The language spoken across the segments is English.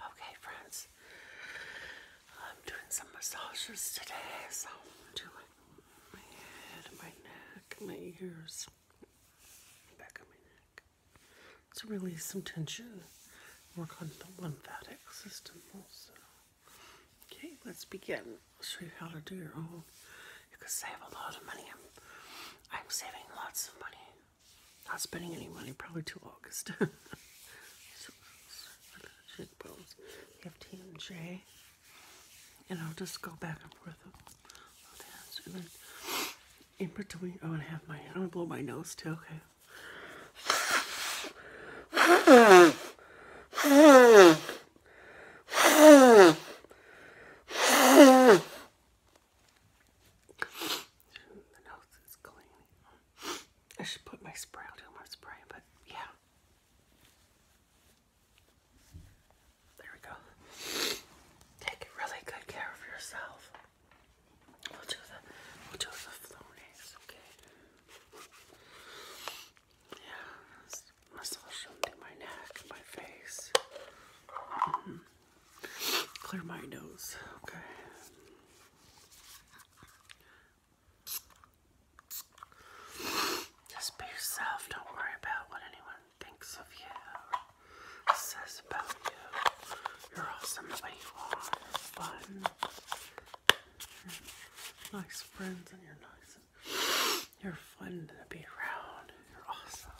Okay, friends, I'm doing some massages today, so I'm doing my head, my neck, my ears, back of my neck to release some tension, work on the lymphatic system also. Okay, let's begin. I'll show you how to do your own. You could save a lot of money. I'm, I'm saving lots of money not spending any money probably till August. so, we have TMJ. And I'll just go back and forth in between, I'm going to have my, I'm going to blow my nose too, okay? the nose is clean. I should put my spray, I'll do my spray, but yeah. There we go. Take really good care of yourself. We'll do the we'll do the flonies, okay? Yeah, massage under my neck, my face. Mm-hmm. Clear my nose. Okay. Just be yourself. Don't worry about what anyone thinks of you or says about you. You're awesome the way you are. You're nice friends and you're nice. You're fun to be around. You're awesome.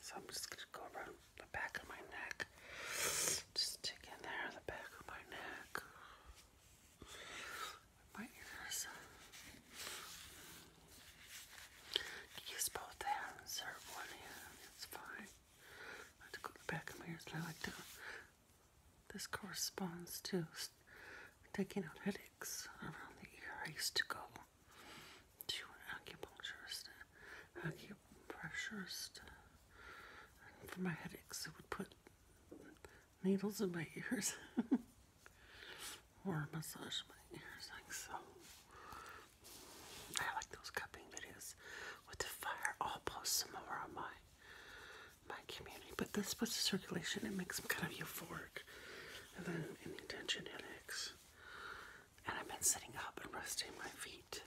So I'm just gonna go around the back of my neck. Just stick in there, the back of my neck. My ears. Use both hands or one hand, it's fine. I go the back of my ears I like to. This corresponds to taking out headaches around the ear. I used to go to an acupuncturist, an acupressurist, for my headaches, it would put needles in my ears or massage my ears like so. I like those cupping videos with the fire. I'll post some more on my my community, but this puts the circulation. It makes them kind of euphoric, and then any tension headaches. And I've been sitting up and resting my feet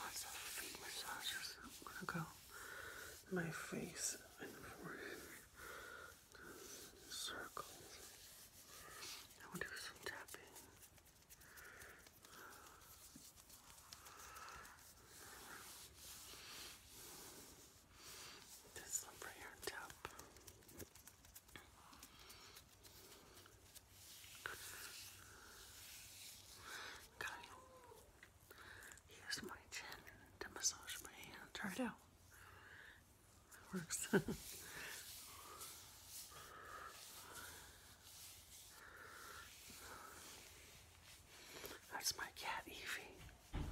Lots of feet massages. I'm gonna go my face and forehead. Circles. I will do some tapping. Just slip right here on top. Use my chin to massage my hand. Try it out. works. That's my cat Evie.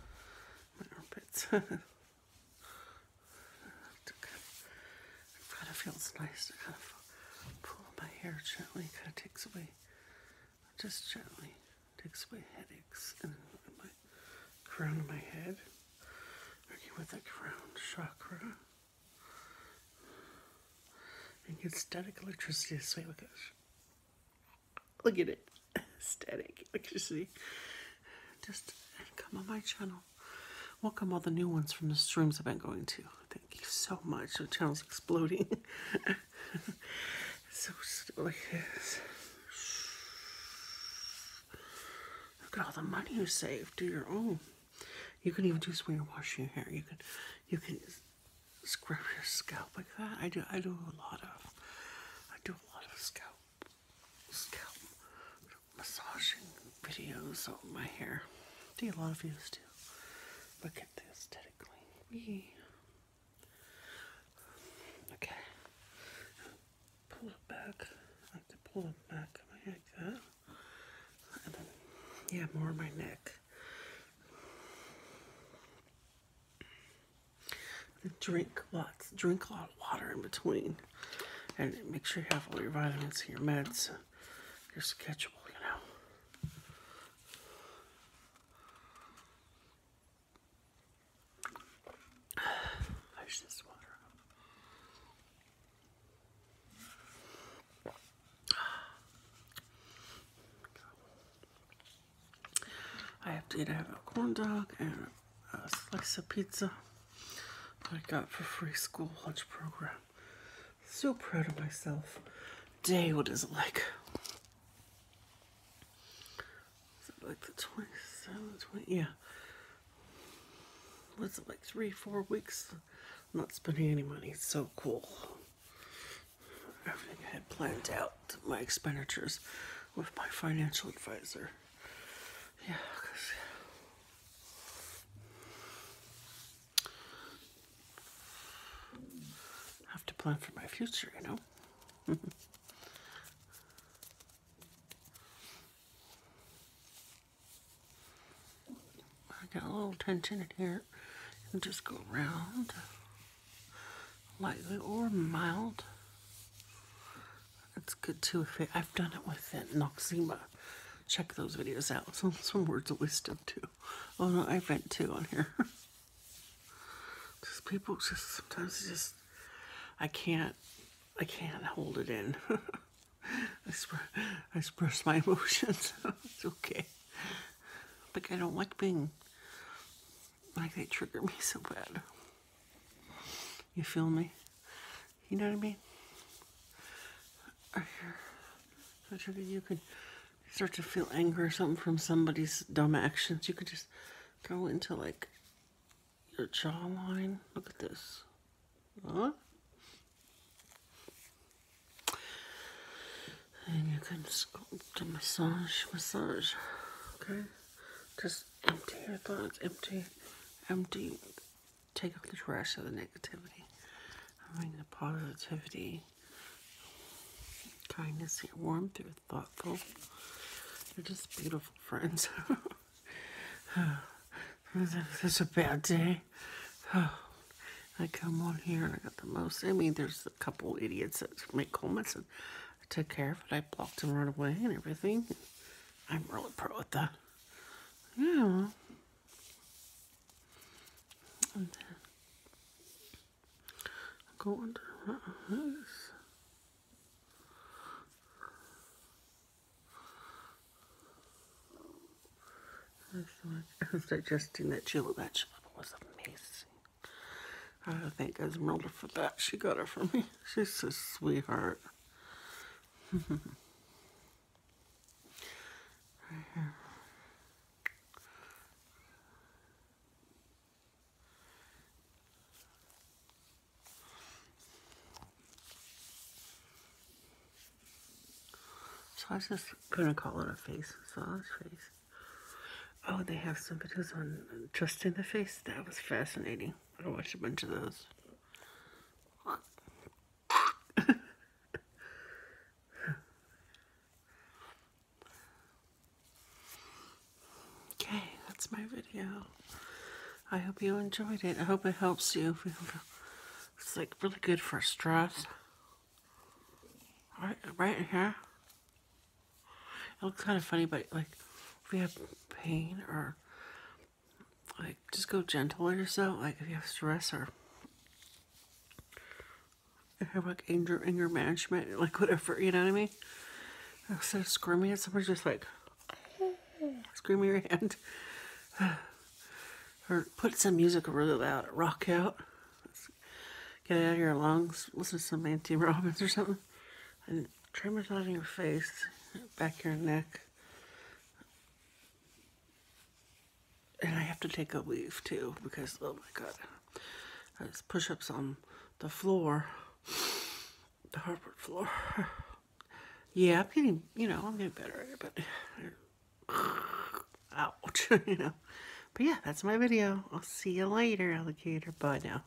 My armpits. It kind of feels nice to kind of pull my hair gently, kind of takes away, just gently takes away headaches and my crown of my head, Okay, with the crown chakra. And get static electricity this way, look at Look at it. static electricity. Just come on my channel Welcome all the new ones from the streams I've been going to. Thank you so much. The channel's exploding. so just like this. Look at all the money you saved, Do your own. You can even do this when washing your hair. You can, you can scrub your scalp like that. I do. I do a lot of. I do a lot of scalp, scalp massaging videos on my hair. get a lot of views too. Look at the aesthetic Yeah. Okay. Pull it back. have to pull it back like that. yeah, more my neck. Drink lots. Drink lots water in between. And make sure you have all your vitamins and your meds, your schedule, you know. There's this water. I have to eat, I have a corn dog and uh, slice of pizza I got for free school lunch program. So proud of myself. Day, what is it like? Is it like the 27th, 20? Yeah. What's it like three, four weeks? not spending any money. It's so cool. Everything I had planned out, my expenditures with my financial advisor. Yeah, I have to plan for my future, you know. I got a little tension in here just go around lightly or mild that's good too. If I've done it with that Noxzema. Check those videos out. Some some words of wisdom too. Oh no, I read too on here. Because people just sometimes just I can't I can't hold it in. I, I express my emotions. it's okay. Like I don't like being like they trigger me so bad. You feel me? You know what I mean? So you could start to feel anger or something from somebody's dumb actions. You could just go into like your jawline. Look at this. Huh? And you can just go to massage, massage. Okay? Just empty your thoughts, empty, empty take off the trash of the negativity and bring the positivity, kindness, warmth, are are thoughtful, they are just beautiful friends. This is a bad day. I come on here and I got the most. I mean, there's a couple idiots that make comments and I took care of it. I blocked them right away and everything. I'm really proud of that. Yeah. And then go under my eyes. I was suggesting that chili vegetable it was amazing. I thank Esmeralda for that. She got it from me. She's a sweetheart. So I was just gonna call it a face massage face. Oh, they have some videos on just in the face. That was fascinating. I watched a bunch of those okay, that's my video. I hope you enjoyed it. I hope it helps you. It's like really good for stress. Right, right here. It looks kind of funny, but like if you have pain or like just go gentle yourself. Like if you have stress or if you have like anger, anger management, like whatever, you know what I mean? Instead of screaming at somebody, just like scream your hand. or put some music really loud, rock out. Let's get out of your lungs, listen to some Auntie Robbins or something and on your face, back your neck. And I have to take a leave too because, oh my god, those push ups on the floor, the hardwood floor. yeah, I'm getting, you know, I'm getting better at it, but ouch, you know. But yeah, that's my video. I'll see you later, alligator. Bye now.